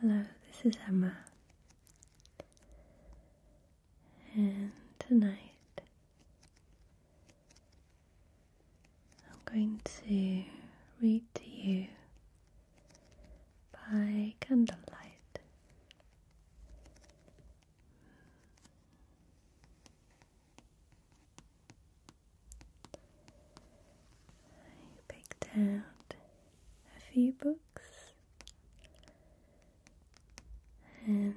Hello, this is Emma, and tonight I'm going to read to you by candlelight. I picked out a few books and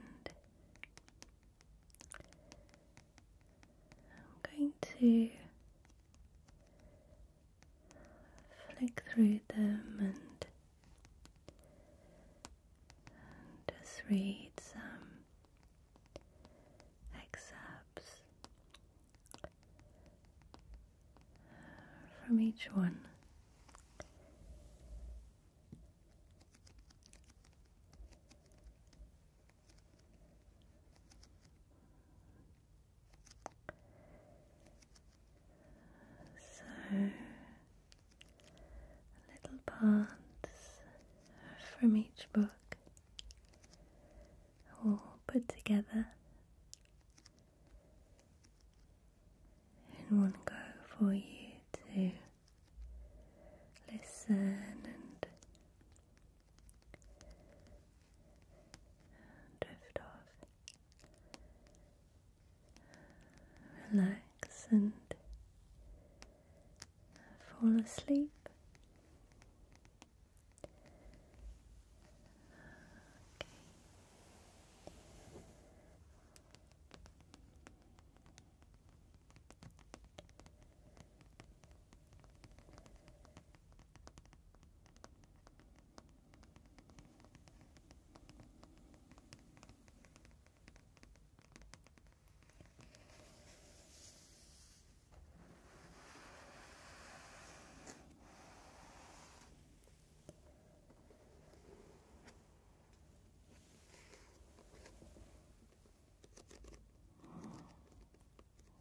I'm going to flick through them and, and just read some excerpts from each one. So little parts from each book all put together in one go for you to listen and drift off, relax and fall asleep. Okay.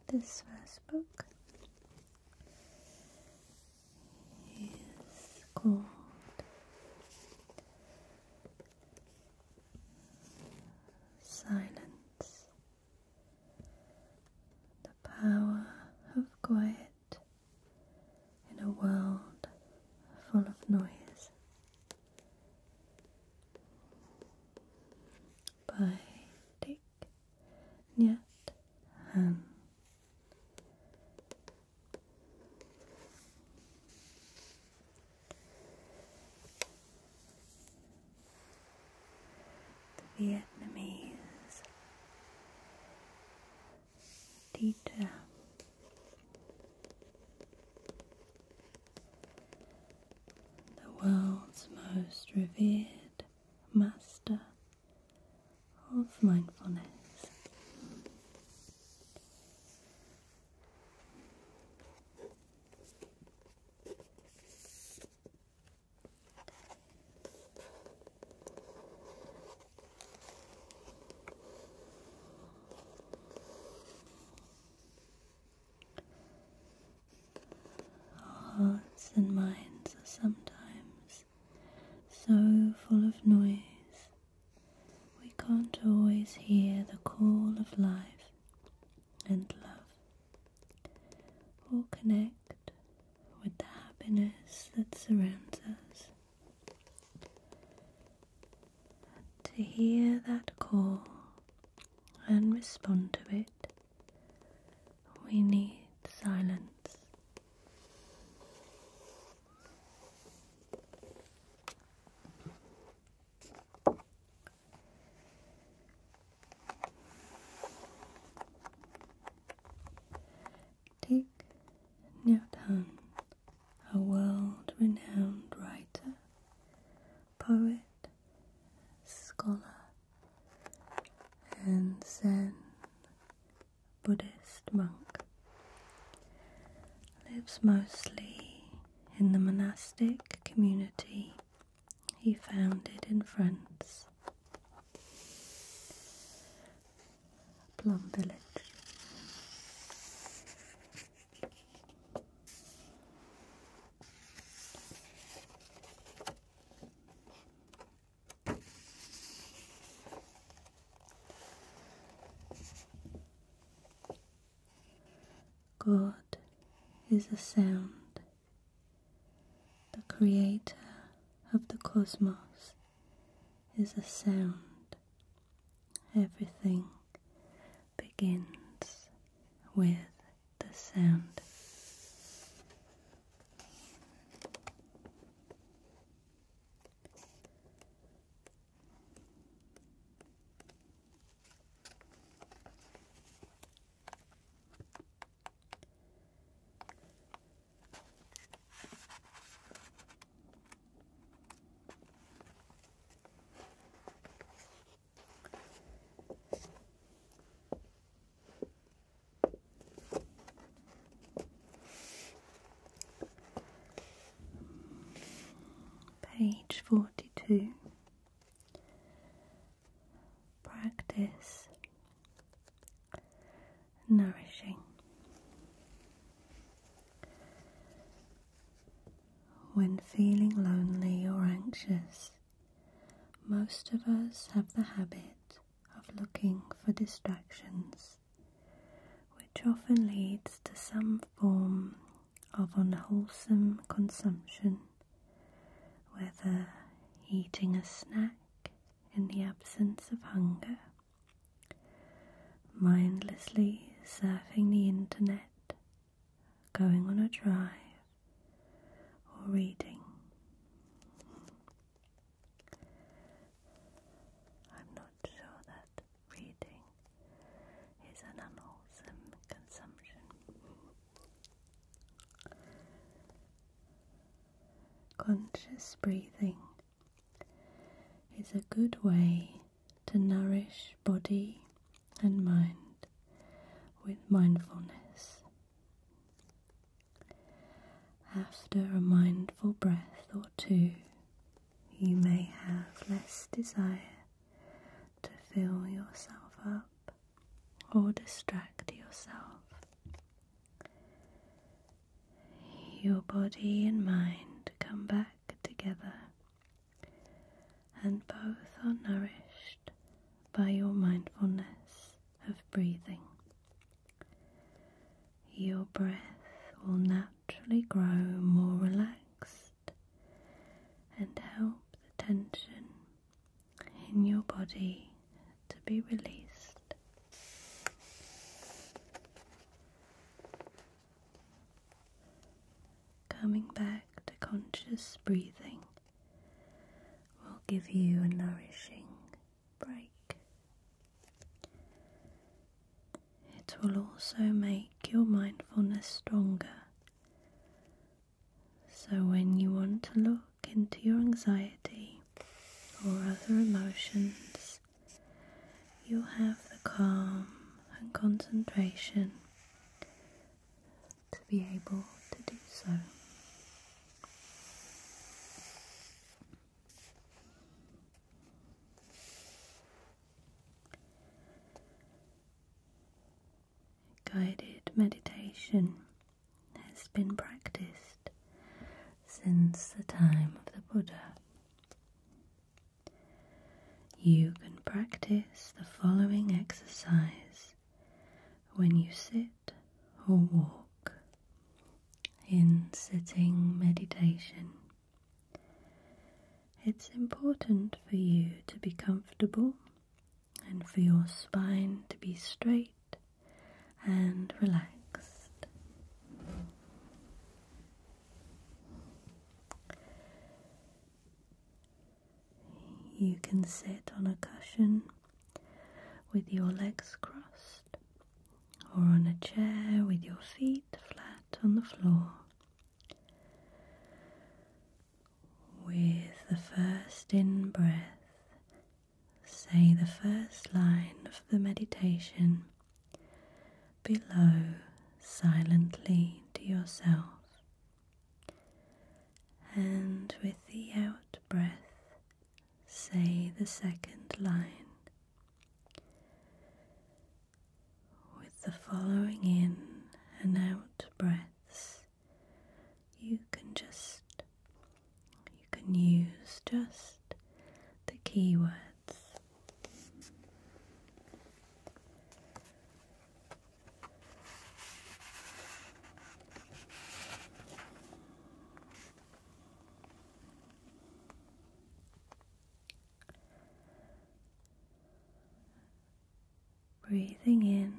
This first book is called silence, the power of quiet in a world full of noise. By Dick Nyat Han. The Vietnamese teacher. The world's most revered master of mindfulness. Hearts and minds are sometimes so full of noise, we can't always hear the call of life and love or connect with the happiness that surrounds us. To hear that call and respond to it, we need silence. Dick Newton, a world-renowned writer, poet, scholar, and Zen Buddhist monk, lives mostly in the monastic community he founded in France. Plum Village. God is a sound, the creator of the cosmos is a sound. Everything begins with the sound. Page forty two. Practice nourishing when feeling lonely or anxious. Most of us have the habit of looking for distractions, which often leads to some form of unwholesome consumption whether eating a snack in the absence of hunger, mindlessly surfing the internet, going on a drive, or reading. I'm not sure that reading is an unwholesome consumption. Conscious breathing is a good way to nourish body and mind with mindfulness. After a mindful breath or two, you may have less desire to fill yourself up or distract yourself. Your body and mind come back together, and both are nourished by your mindfulness of breathing. Your breath will naturally grow more relaxed and help the tension in your body to be released. Coming back to conscious breathing will give you a nourishing break. It will also make your mindfulness stronger so, when you want to look into your anxiety or other emotions, you'll have the calm and concentration to be able to do so guided meditation has been practiced since the time of the Buddha. You can practice the following exercise when you sit or walk in sitting meditation. It's important for you to be comfortable and for your spine to be straight and relaxed. You can sit on a cushion with your legs crossed or on a chair with your feet flat on the floor. With the first in breath, say the first line of the meditation below silently to yourself. And with the out breath, say the second line. With the following in and out breath, you can just, you can use just the keywords breathing in.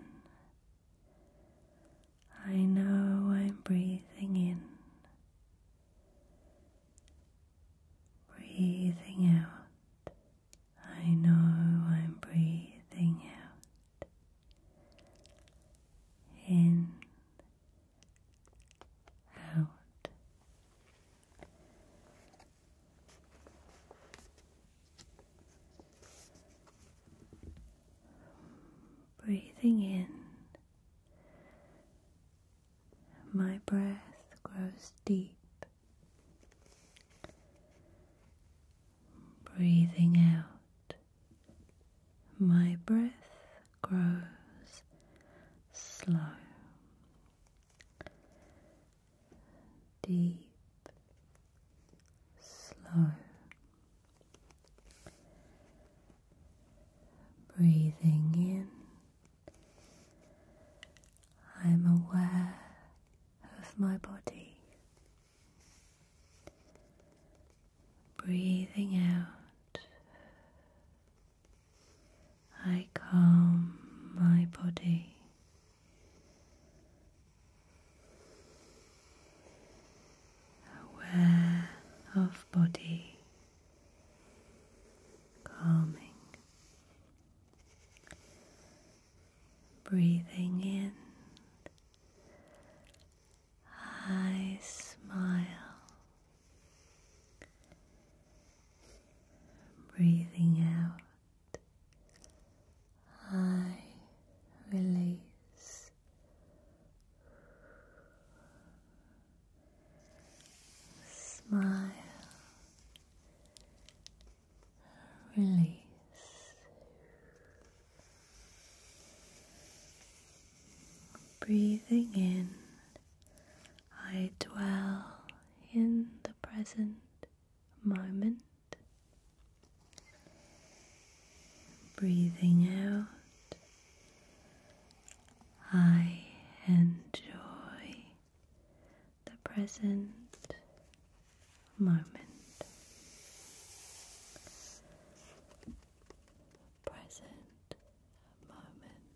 I know I'm breathing in, breathing out. I know I'm breathing out. In, out. Breathing in, my breath grows deep. Breathing out, my breath grows slow deep, slow. Breathing in, I'm aware of my body. Breathing out, I calm my body aware of body, calming, breathing in. I smile, breathing out. I release. Smile, release. Breathing in, I dwell in the present moment. Breathing out, I enjoy the present moment. Present moment.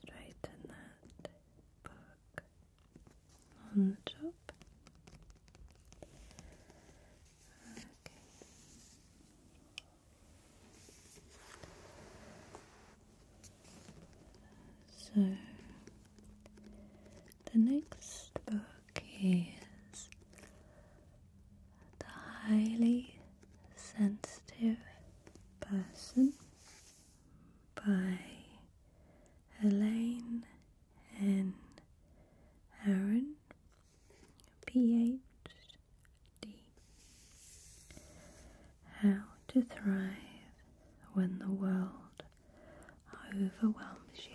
Straighten that book on the top. Okay. So the next book is The Highly Sensitive Person by Elaine N. Aaron, PhD. How to Thrive When the World overwhelms you.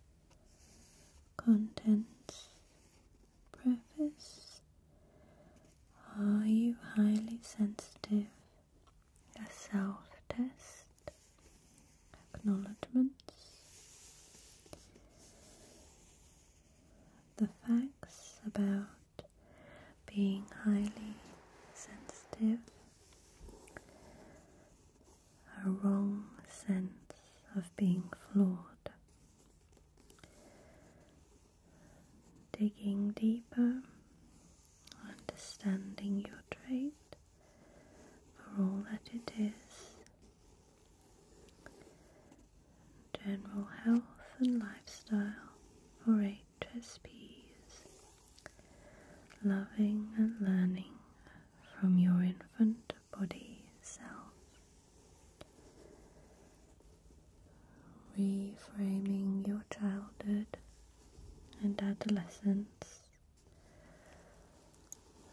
Contents Preface Are you highly sensitive? A self test Acknowledgements The facts about being highly sensitive a wrong sense of being flawed. Digging deeper, understanding your trait for all that it is, general health and lifestyle for HSPs, loving and learning from your infant body self, reframing your childhood and adolescence,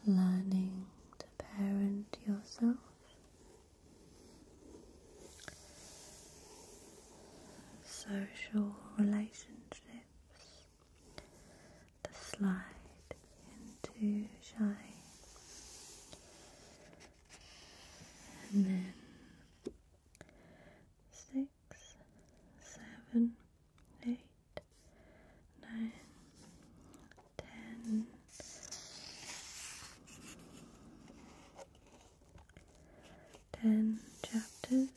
learning to parent yourself. Social relationships the slide into shine, and then six, seven, eight, chapters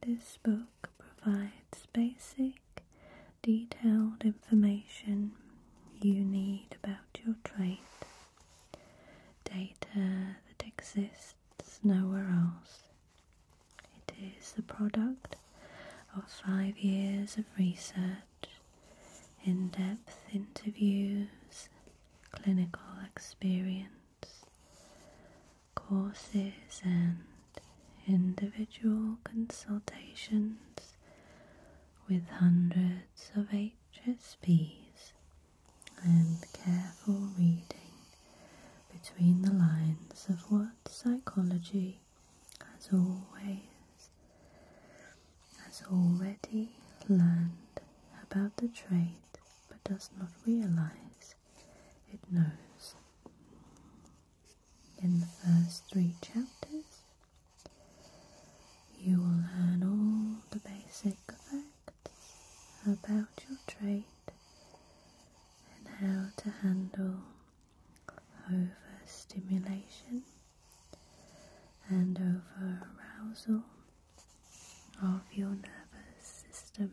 this book provides basic, detailed information you need about your trade data that exists nowhere else. It is the product of five years of research, in depth interviews, clinical experience, courses, and individual consultations with hundreds of HSPs and careful reading between the lines of what psychology has always has already learned about the trait but does not realize it knows. In the first three chapters, you will learn all the basic facts about your trade and how to handle overstimulation and overarousal of your nervous system.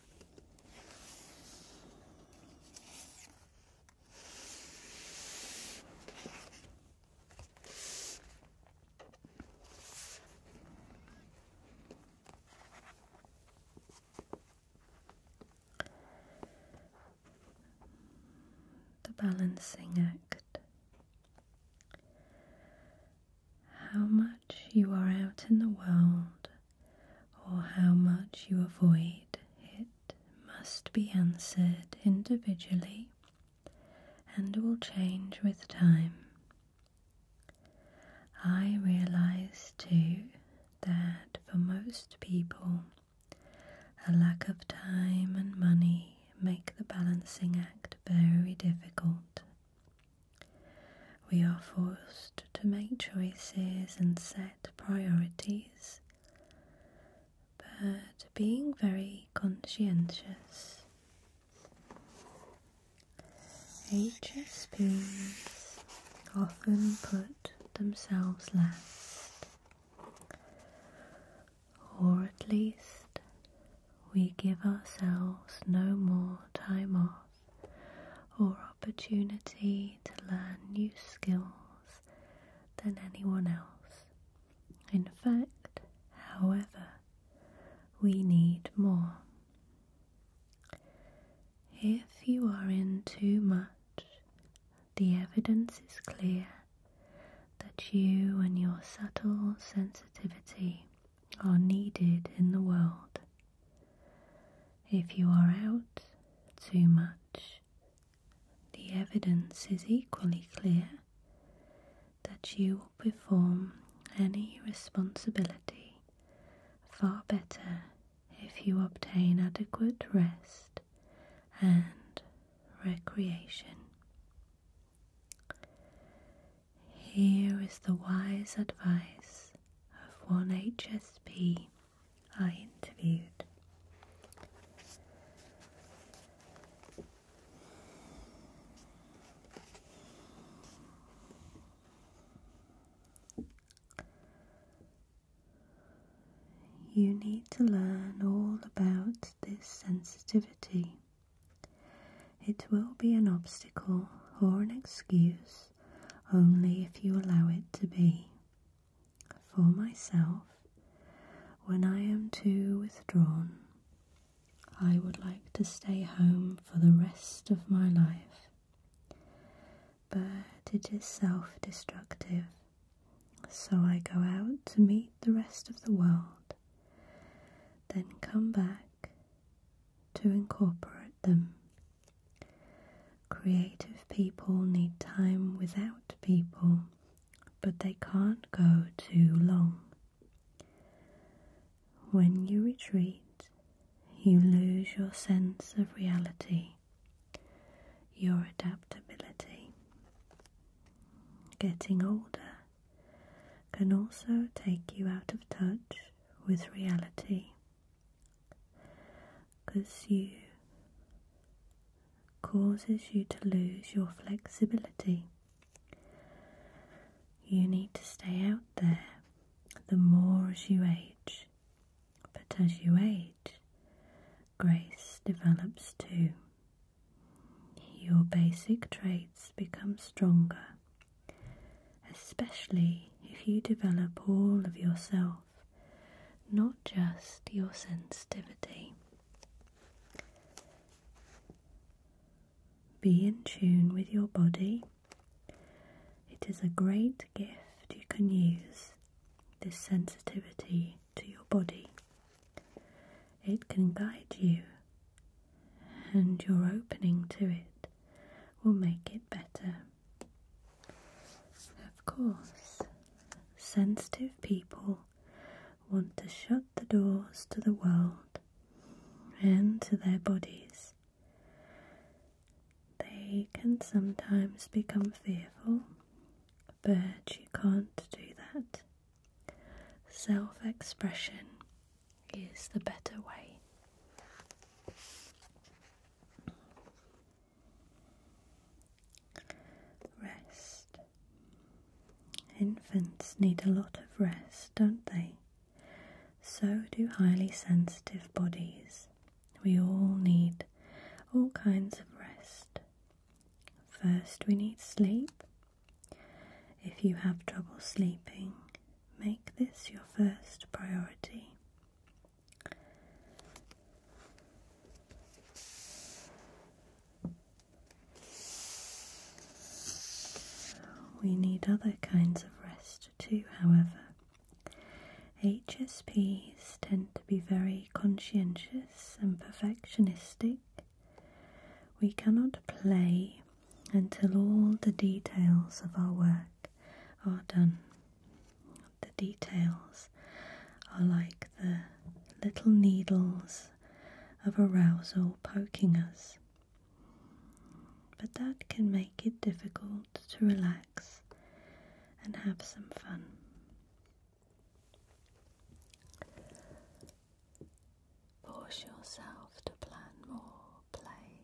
The balancing act how much you are out in the world or how much you avoid it must be answered individually and will change with time. I realize too that for most people, a lack of time and money make the balancing act very difficult we are forced to make choices and set priorities, but being very conscientious. HSPs often put themselves last, or at least we give ourselves no more time off or opportunity to learn new skills than anyone else. In fact, however, we need more. If you are in too much, the evidence is clear that you and your subtle sensitivity are needed in the world if you are out too much, the evidence is equally clear that you will perform any responsibility far better if you obtain adequate rest and recreation. Here is the wise advice of one HSP I interviewed. You need to learn all about this sensitivity. It will be an obstacle or an excuse only if you allow it to be. For myself, when I am too withdrawn, I would like to stay home for the rest of my life. But it is self destructive, so I go out to meet the rest of the world, then come back to incorporate them. Creative people need time without people, but they can't go too long. When you retreat, you lose your sense of reality, your adaptability. Getting older can also take you out of touch with reality because you causes you to lose your flexibility. You need to stay out there the more as you age, but as you age, grace develops too. Your basic traits become stronger especially if you develop all of yourself, not just your sensitivity. Be in tune with your body. It is a great gift you can use, this sensitivity to your body. It can guide you and your opening to it will make it better. Of course, sensitive people want to shut the doors to the world and to their bodies. They can sometimes become fearful, but you can't do that. Self expression is the better way. Rest. Infants need a lot of rest, don't they? So do highly sensitive bodies. We all need all kinds of rest. First, we need sleep. If you have trouble sleeping, Make this your first priority. We need other kinds of rest too, however. HSPs tend to be very conscientious and perfectionistic. We cannot play until all the details of our work are done. The details are like the little needles of arousal poking us. But that can make it difficult to relax and have some fun. Force yourself to plan more play.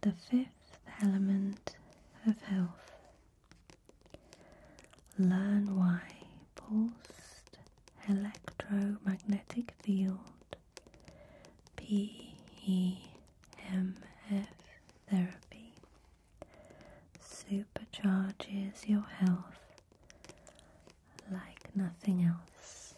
The fifth element of health. Learn why pulsed electromagnetic field PEMF therapy supercharges your health like nothing else.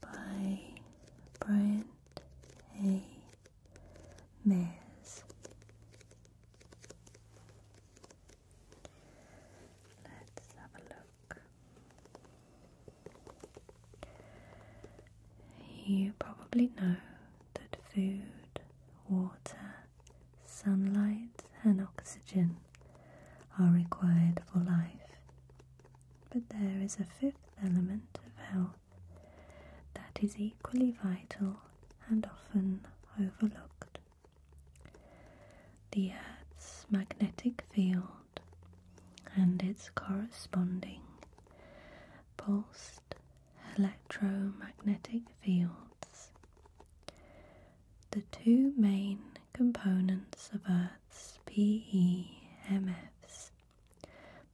By Bryant A. Mears. Let's have a look. You probably know that food, water, sunlight, and oxygen are required for life. But there is a fifth element of health that is equally vital and often overlooked. The Earth's magnetic field and its corresponding pulsed electromagnetic fields. The two main components of Earth's PEMFs,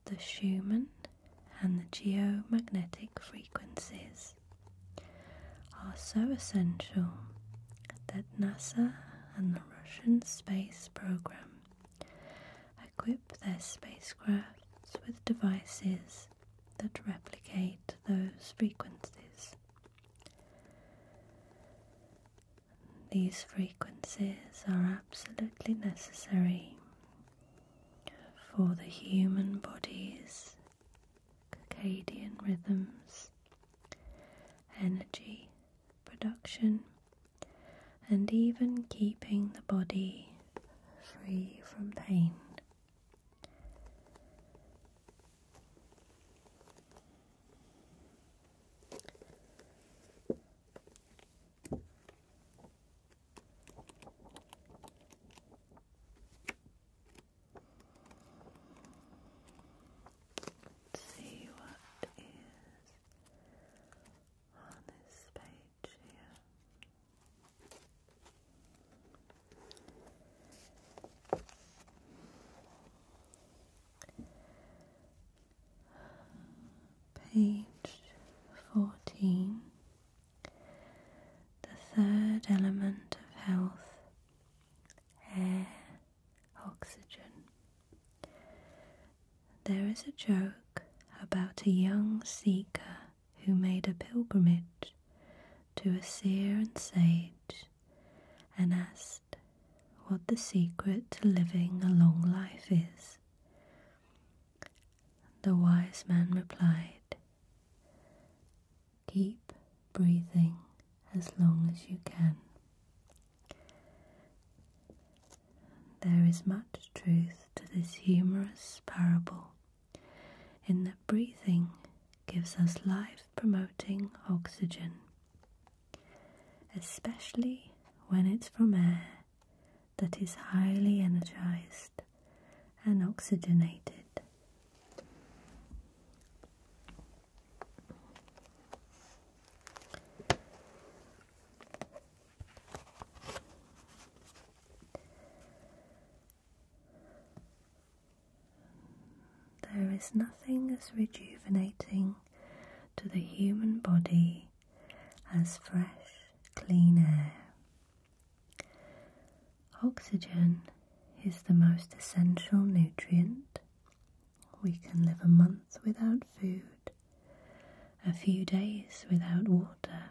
the Schumann and the geomagnetic frequencies, are so essential that NASA and the Russian space program equip their spacecrafts with devices that replicate those frequencies. These frequencies are absolutely necessary for the human body's circadian rhythms, energy production, and even keeping the body free from pain. Let's see what is on this page here. Page 14. The third element of health air, oxygen there is a joke about a young seeker who made a pilgrimage to a seer and sage and asked what the secret to living a long life is. The wise man replied, Keep breathing as long as you can. There is much truth to this humorous parable, in that breathing gives us life promoting oxygen, especially when it's from air that is highly energized and oxygenated. There is nothing as rejuvenating to the human body as fresh, clean air. Oxygen is the most essential nutrient. We can live a month without food a few days without water,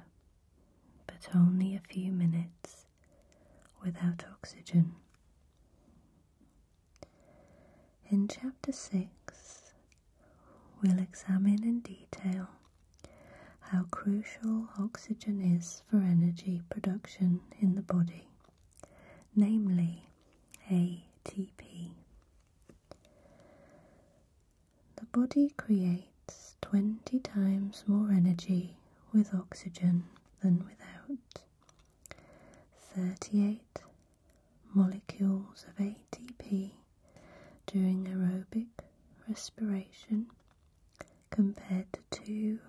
but only a few minutes without oxygen. In Chapter 6, we'll examine in detail how crucial oxygen is for energy production in the body, namely ATP. The body creates 20 times more energy with oxygen than without. 38 molecules of ATP during aerobic respiration compared to two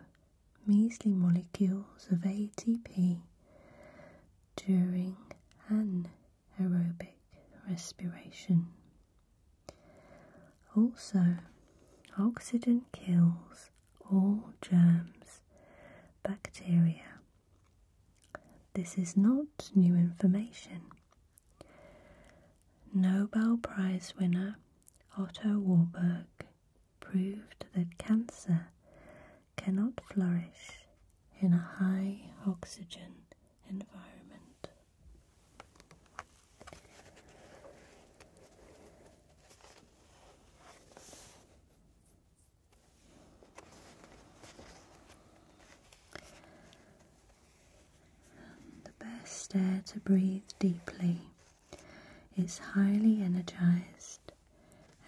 measly molecules of ATP during anaerobic respiration. Also, oxygen kills all germs, bacteria. This is not new information. Nobel Prize winner Otto Warburg proved that cancer cannot flourish in a high oxygen environment. the best air to breathe deeply is highly energized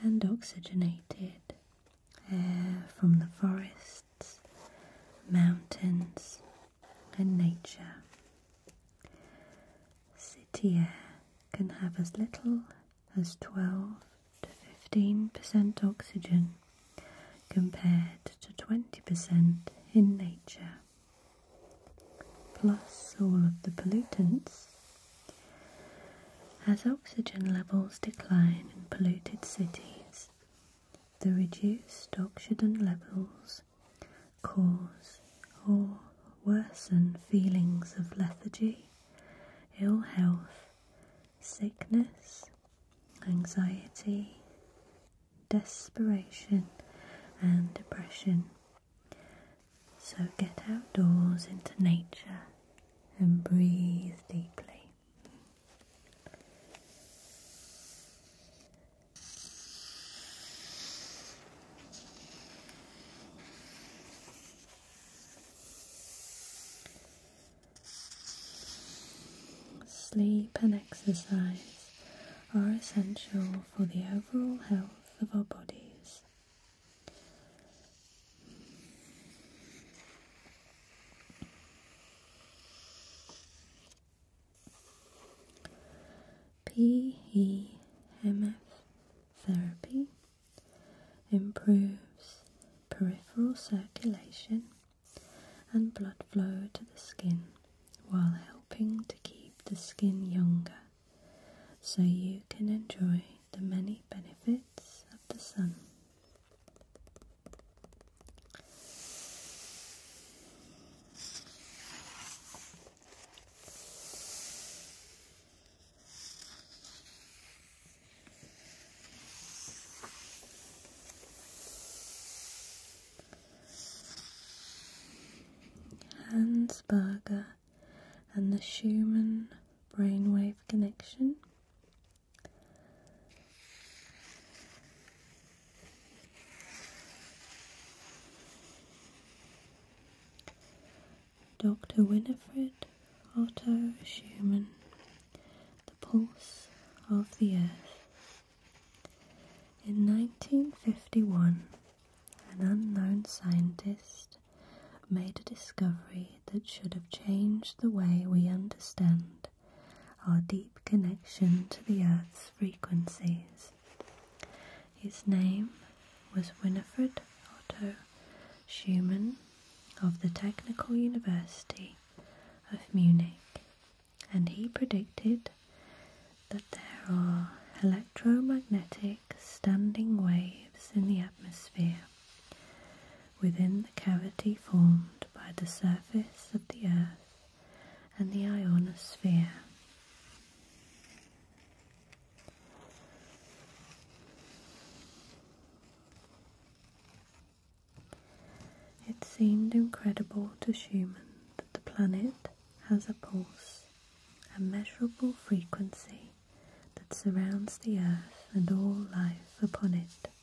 and oxygenated air from the forest mountains, and nature. City air can have as little as 12 to 15% oxygen compared to 20% in nature. Plus all of the pollutants. As oxygen levels decline in polluted cities, the reduced oxygen levels cause or worsen feelings of lethargy, ill health, sickness, anxiety, desperation, and depression. So get outdoors into nature and breathe deeply. Sleep and exercise are essential for the overall health of our bodies. PEMF therapy improves peripheral circulation and blood flow to the skin while helping to keep the skin younger so you can enjoy the many benefits of the sun. Hans Berger and the Schumann brainwave connection Dr. Winifred Otto Schumann, The Pulse of the Earth. In 1951, an unknown scientist made a discovery that should have changed the way we understand our deep connection to the Earth's frequencies. His name was Winifred Otto Schumann of the Technical University of Munich, and he predicted that there are electromagnetic standing waves in the atmosphere within the cavity formed by the surface of the Earth and the ionosphere. It seemed incredible to Schumann that the planet has a pulse, a measurable frequency that surrounds the Earth and all life upon it.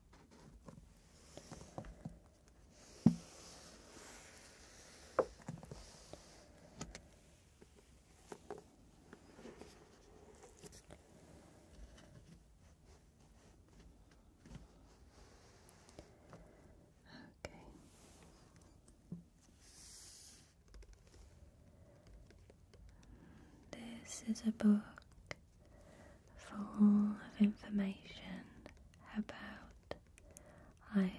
Okay. This is a book full of information about iodine.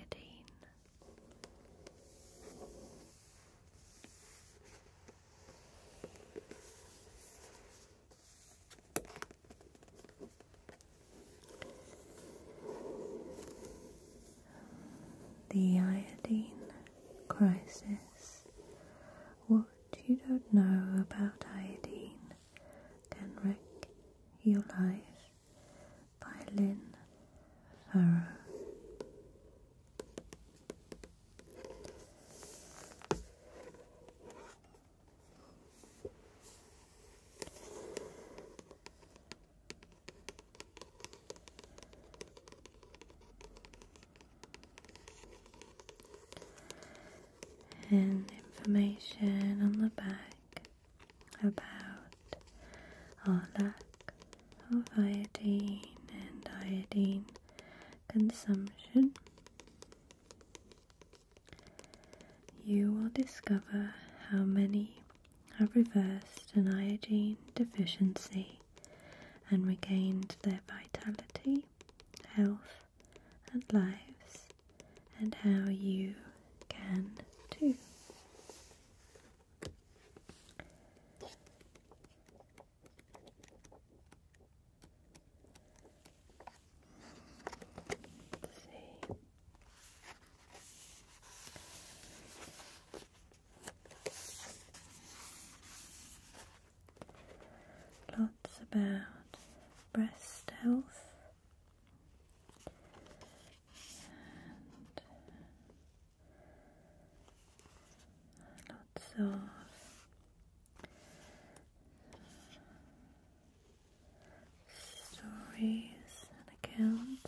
The iodine crisis you don't know about iodine can wreck your life by Lynn Farrow and information on the back about our lack of iodine and iodine consumption. You will discover how many have reversed an iodine deficiency and regained their vitality, health, and lives, and how you can too lots about breast health lots of stories and accounts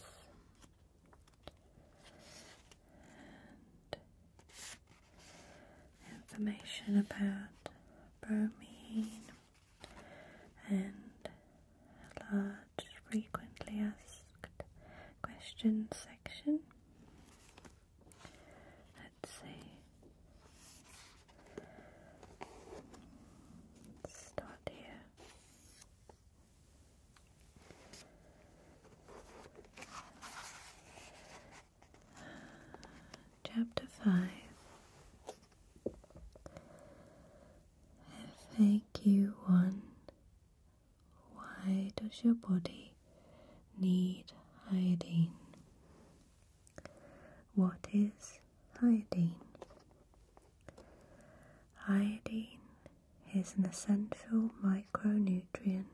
information about bromine and a lot frequently asked questions section. Let's see. start here. Chapter 5 Thank you, 1 Why does your body need iodine? What is iodine? Iodine is an essential micronutrient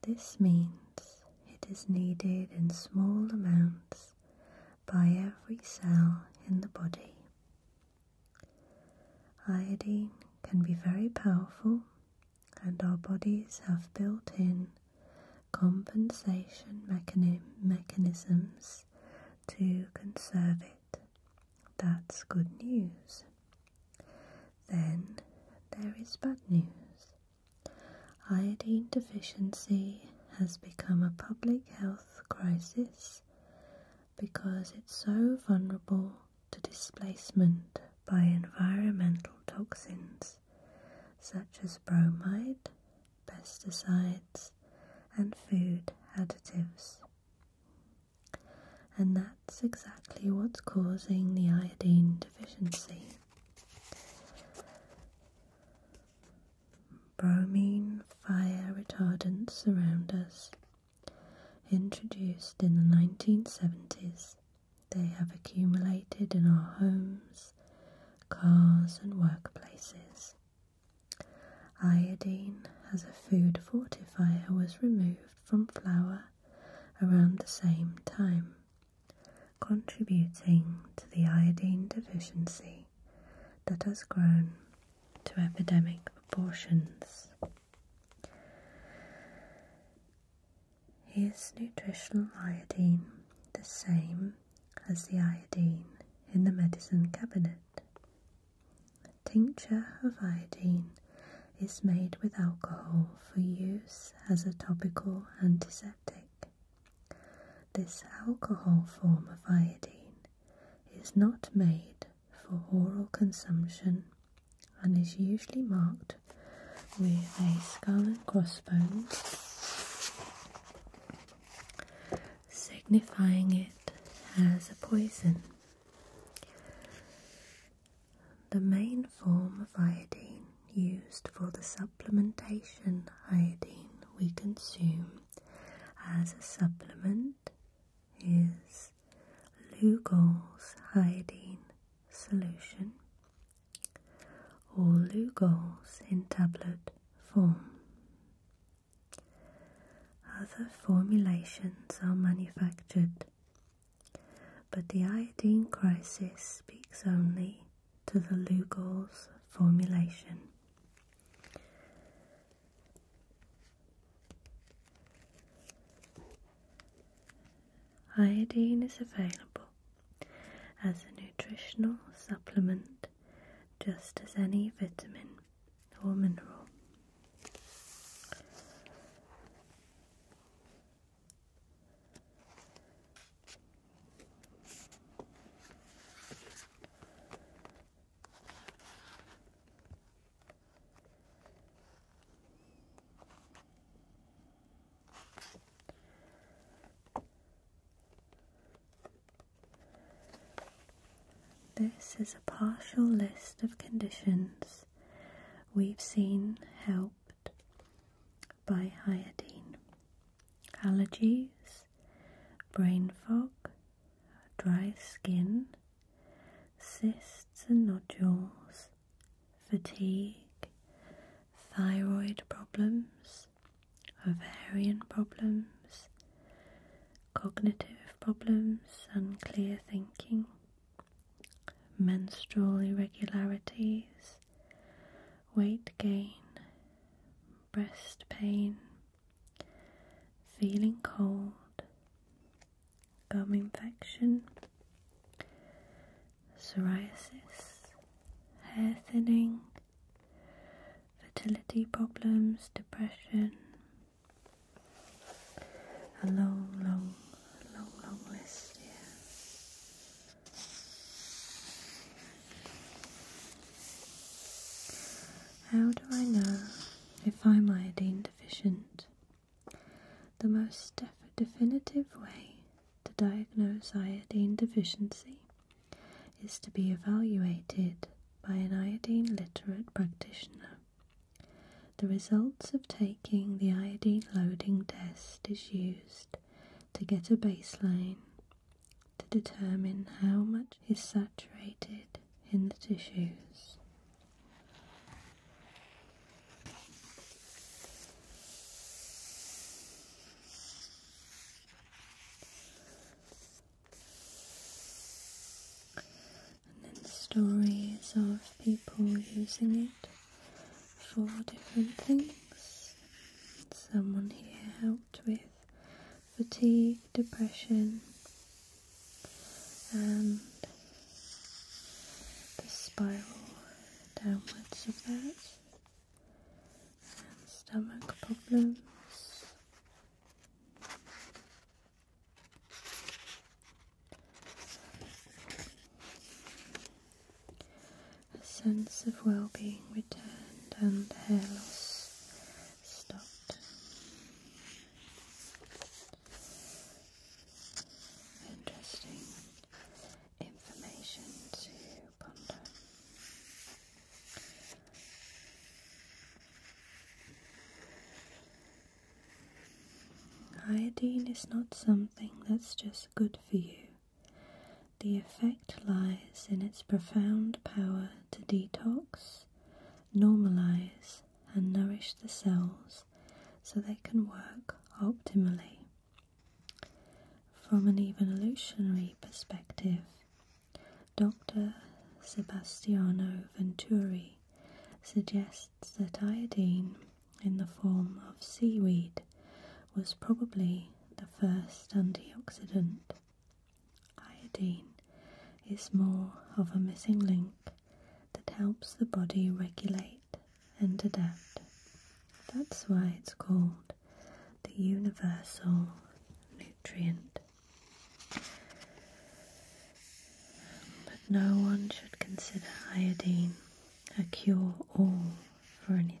this means it is needed in small amounts by every cell in the body. Iodine can be very powerful, and our bodies have built in compensation mechanisms to conserve it. That's good news. Then there is bad news. Iodine deficiency has become a public health crisis because it's so vulnerable to displacement by environmental toxins such as bromide, pesticides, and food additives. And that's exactly what's causing the iodine deficiency. Bromine fire retardants surround us. Introduced in the 1970s, they have accumulated in our homes, cars, and workplaces. Iodine as a food fortifier was removed from flour around the same time contributing to the iodine deficiency that has grown to epidemic proportions. Is nutritional iodine the same as the iodine in the medicine cabinet? tincture of iodine is made with alcohol for use as a topical antiseptic. This alcohol form of iodine is not made for oral consumption and is usually marked with a skull and crossbones, signifying it as a poison. The main form of iodine used for the supplementation iodine we consume as a supplement is Lugol's iodine solution or Lugol's in tablet form. Other formulations are manufactured but the iodine crisis speaks only to the Lugol's formulation. Iodine is available as a nutritional supplement just as any vitamin or mineral. This is a partial list of conditions we've seen help helped by iodine. Allergies, brain fog, dry skin, cysts and nodules, fatigue, thyroid problems, ovarian problems, cognitive problems, unclear thinking, menstrual irregularities, weight gain, breast pain, feeling cold, gum infection, psoriasis, hair thinning, fertility problems, depression. A long, long, long, long list, yeah. How do I know if I'm iodine deficient? The most definitive way to diagnose iodine deficiency is to be evaluated by an iodine literate practitioner. The results of taking the iodine loading test is used to get a baseline to determine how much is saturated in the tissues. And then stories of people using it four different things. Someone here helped with fatigue, depression, and the spiral downwards of that, and stomach problems. A sense of well being returned and hair loss stopped. Interesting information to ponder. Iodine is not something that's just good for you. The effect lies in its profound power to detox, normalize, and nourish the cells so they can work optimally. From an evolutionary perspective, Dr. Sebastiano Venturi suggests that iodine in the form of seaweed was probably the first antioxidant. Iodine is more of a missing link that helps the body regulate and adapt. That's why it's called the universal nutrient. But no one should consider iodine a cure all for an anything. Okay. Okay.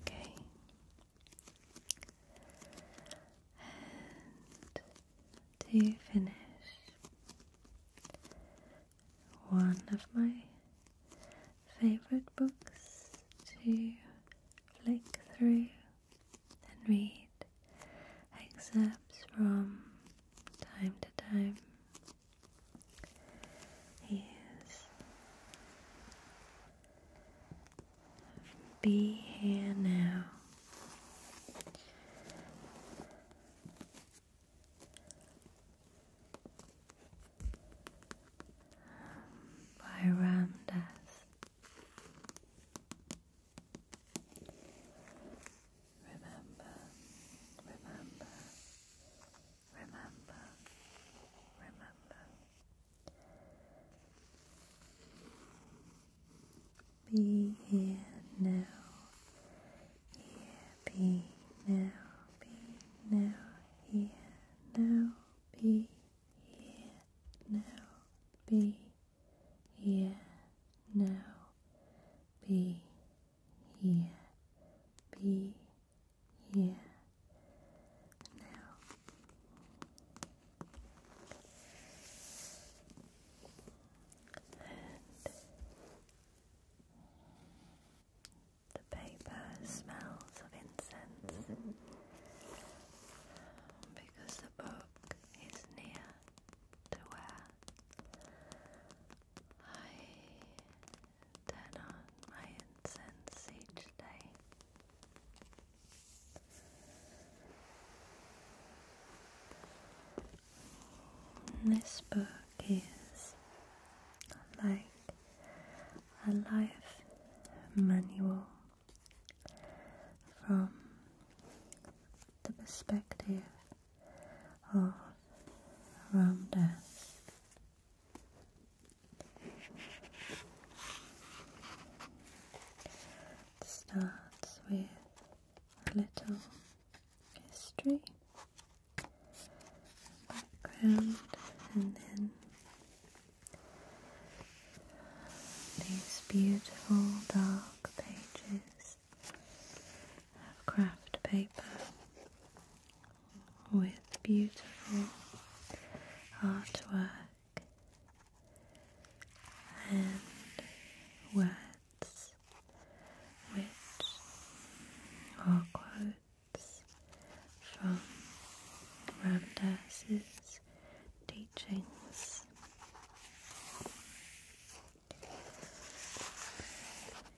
Okay. to finish, one of my favorite books to flick through and read excerpts from time to time is be here now. By Ram remember, remember, remember, remember. Be here now, here be now, be now, here now, be here now, be here now, be here, be here now. And the paper smells of incense because the book is near to where I turn on my incense each day. This book is like a life manual from the perspective Oh, all around starts with a little history, background, and then these beautiful dark pages piece of craft paper with beautiful artwork and words which are quotes from Ramdas's teachings.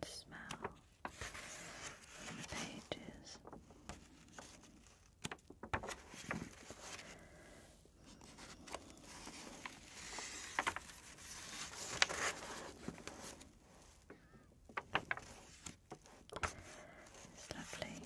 The smell from the pages. It's lovely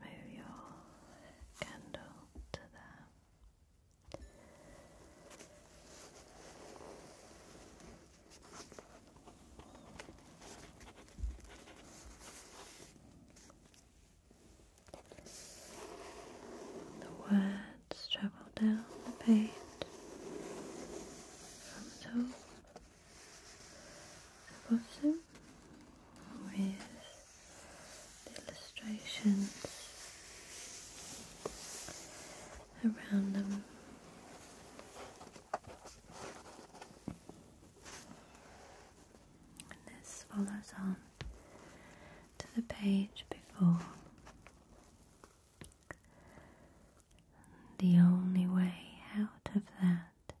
move your candle to there. The words travel down the page from top above them with the illustrations around them. And this follows on to the page before. The only way out of that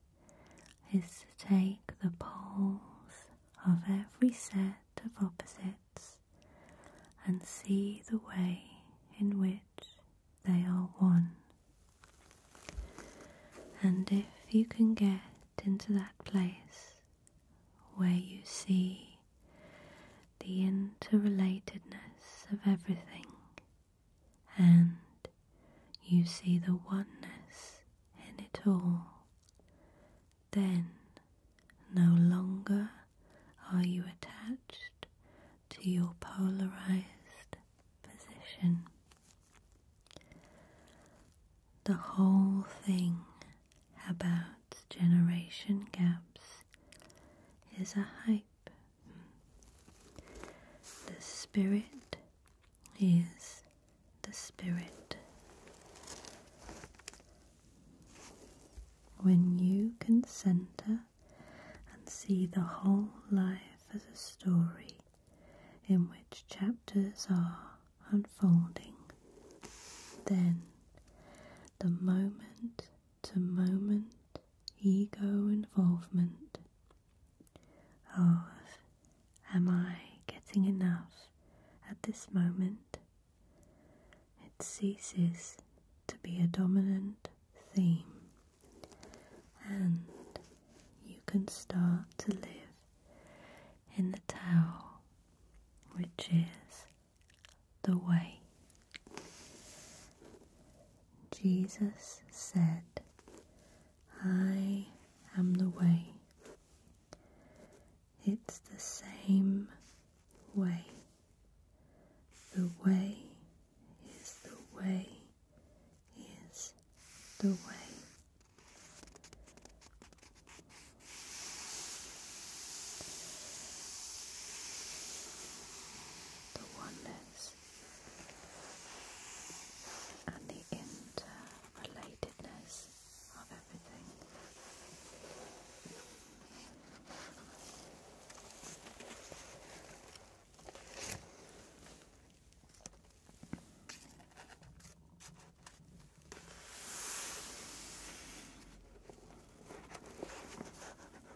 is to take the poles of every set of opposites and see the way in which they are one. And if you can get into that place where you see the interrelatedness of everything and you see the oneness in it all, then no longer are you attached to your polarized position. The whole thing about generation gaps is a hype. The spirit is the spirit. When you can center and see the whole life as a story in which chapters are unfolding, then the moment to moment ego involvement of ah, am I getting enough at this moment? It ceases to be a dominant theme and you can start to live in the Tao, which is the way. Jesus said, I am the way. It's the same way. The way is the way is the way. The oneness process and the interrelatedness of everything.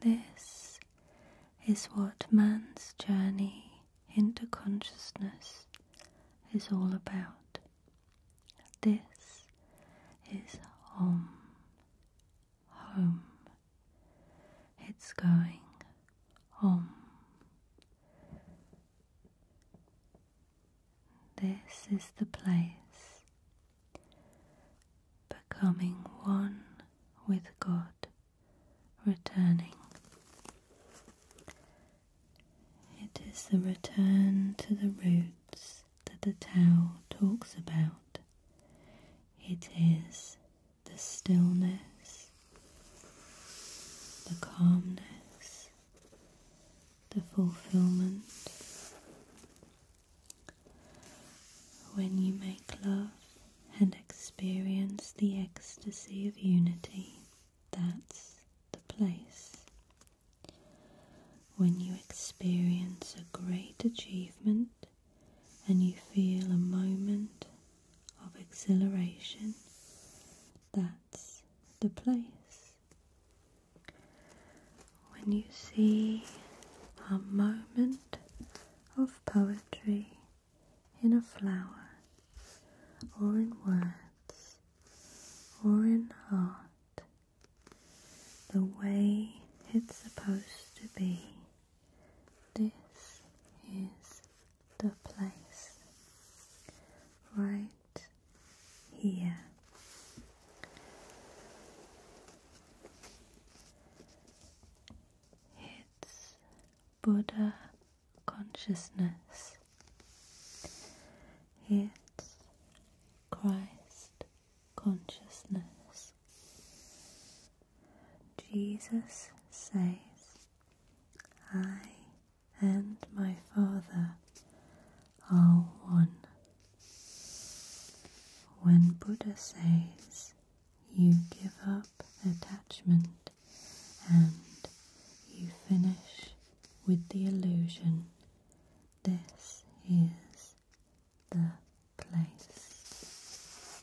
This is what man's journey into consciousness is all about. This is home. Home. It's going home. This is the place becoming one with God, returning. It is the return to the roots that the Tao talks about. It is the stillness, the calmness, the fulfillment. When you make love and experience the ecstasy of unity, that's the place. When you experience a great achievement and you feel a moment of exhilaration. That's the place. When you see a moment of poetry in a flower, or in words, or in art, the way it's supposed to be, this is the place right here. It's Buddha consciousness. It's Christ consciousness. Jesus says I and my Father are one. When Buddha says you give up attachment and you finish with the illusion, this is the place.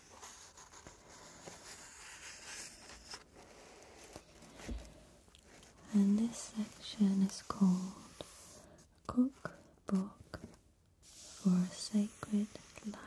And this section is called Cookbook for a Sacred Life.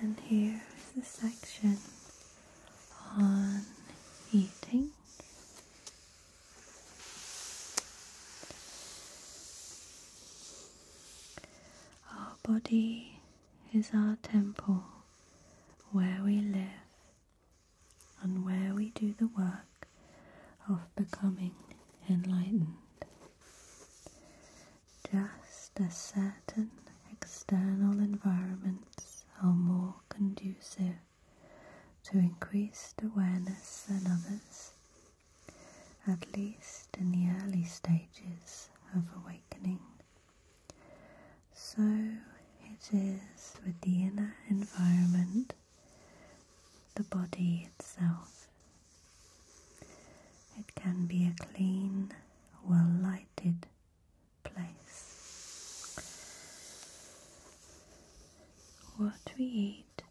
And here is the section on eating our body is our temple where we live and where we do the work of becoming enlightened. Just as certain external environments are more conducive to increased awareness in others, at least in the early stages of awakening. So it is with the inner environment, the body itself. It can be a clean, well lighted, place. What we eat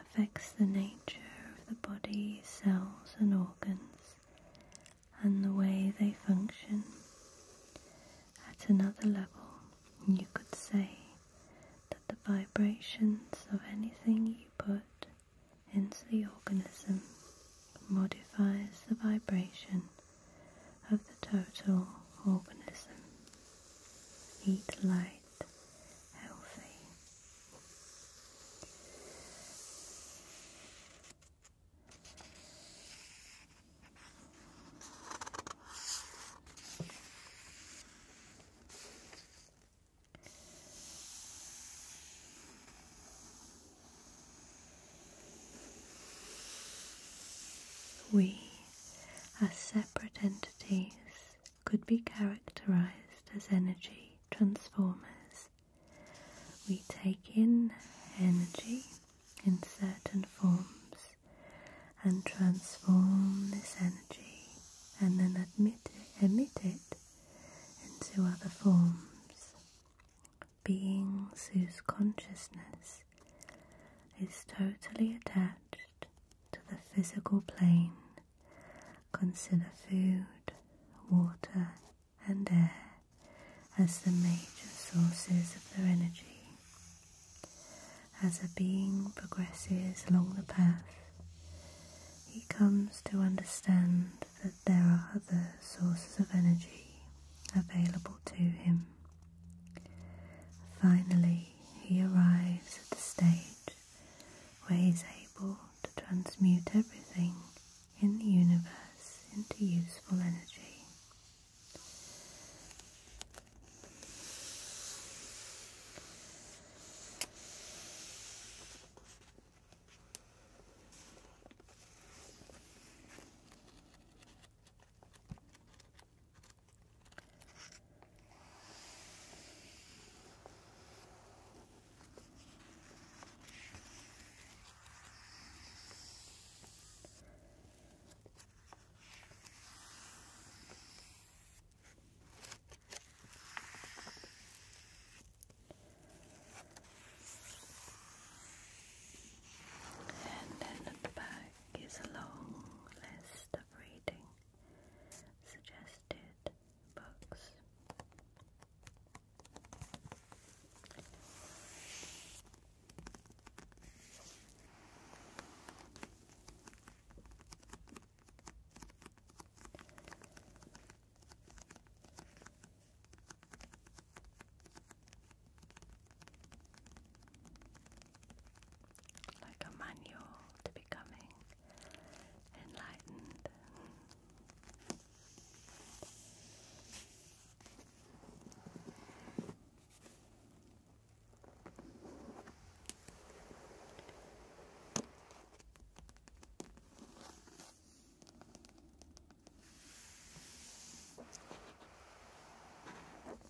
affects the nature of the body, cells, and organs, and the way they function. At another level, you could say that the vibrations of anything you put into the organism modifies the vibration of the total organism. Eat light, healthy. We, as separate entities, could be characterized as energy transformers. We take in energy in certain forms and transform this energy and then admit emit it into other forms beings whose consciousness is totally attached to the physical plane consider food, water, and air as the major sources of their energy. As a being progresses along the path, he comes to understand that there are other sources of energy available to him Finally, he arrives at the stage where he is able to transmute everything in the universe into useful energy. And then at the back is a long list of reading suggested books like a manual to becoming enlightened.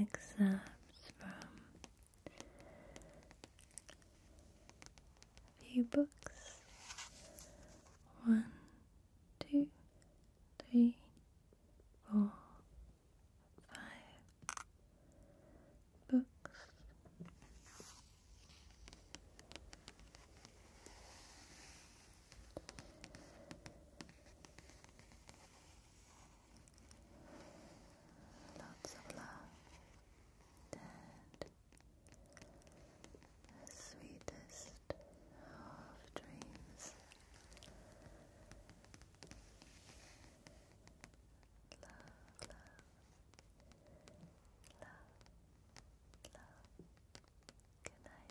excerpts from a few books. One, two, three, four, five books. Lots of love and the sweetest of dreams. Love, love, love, love. Good night. Good night.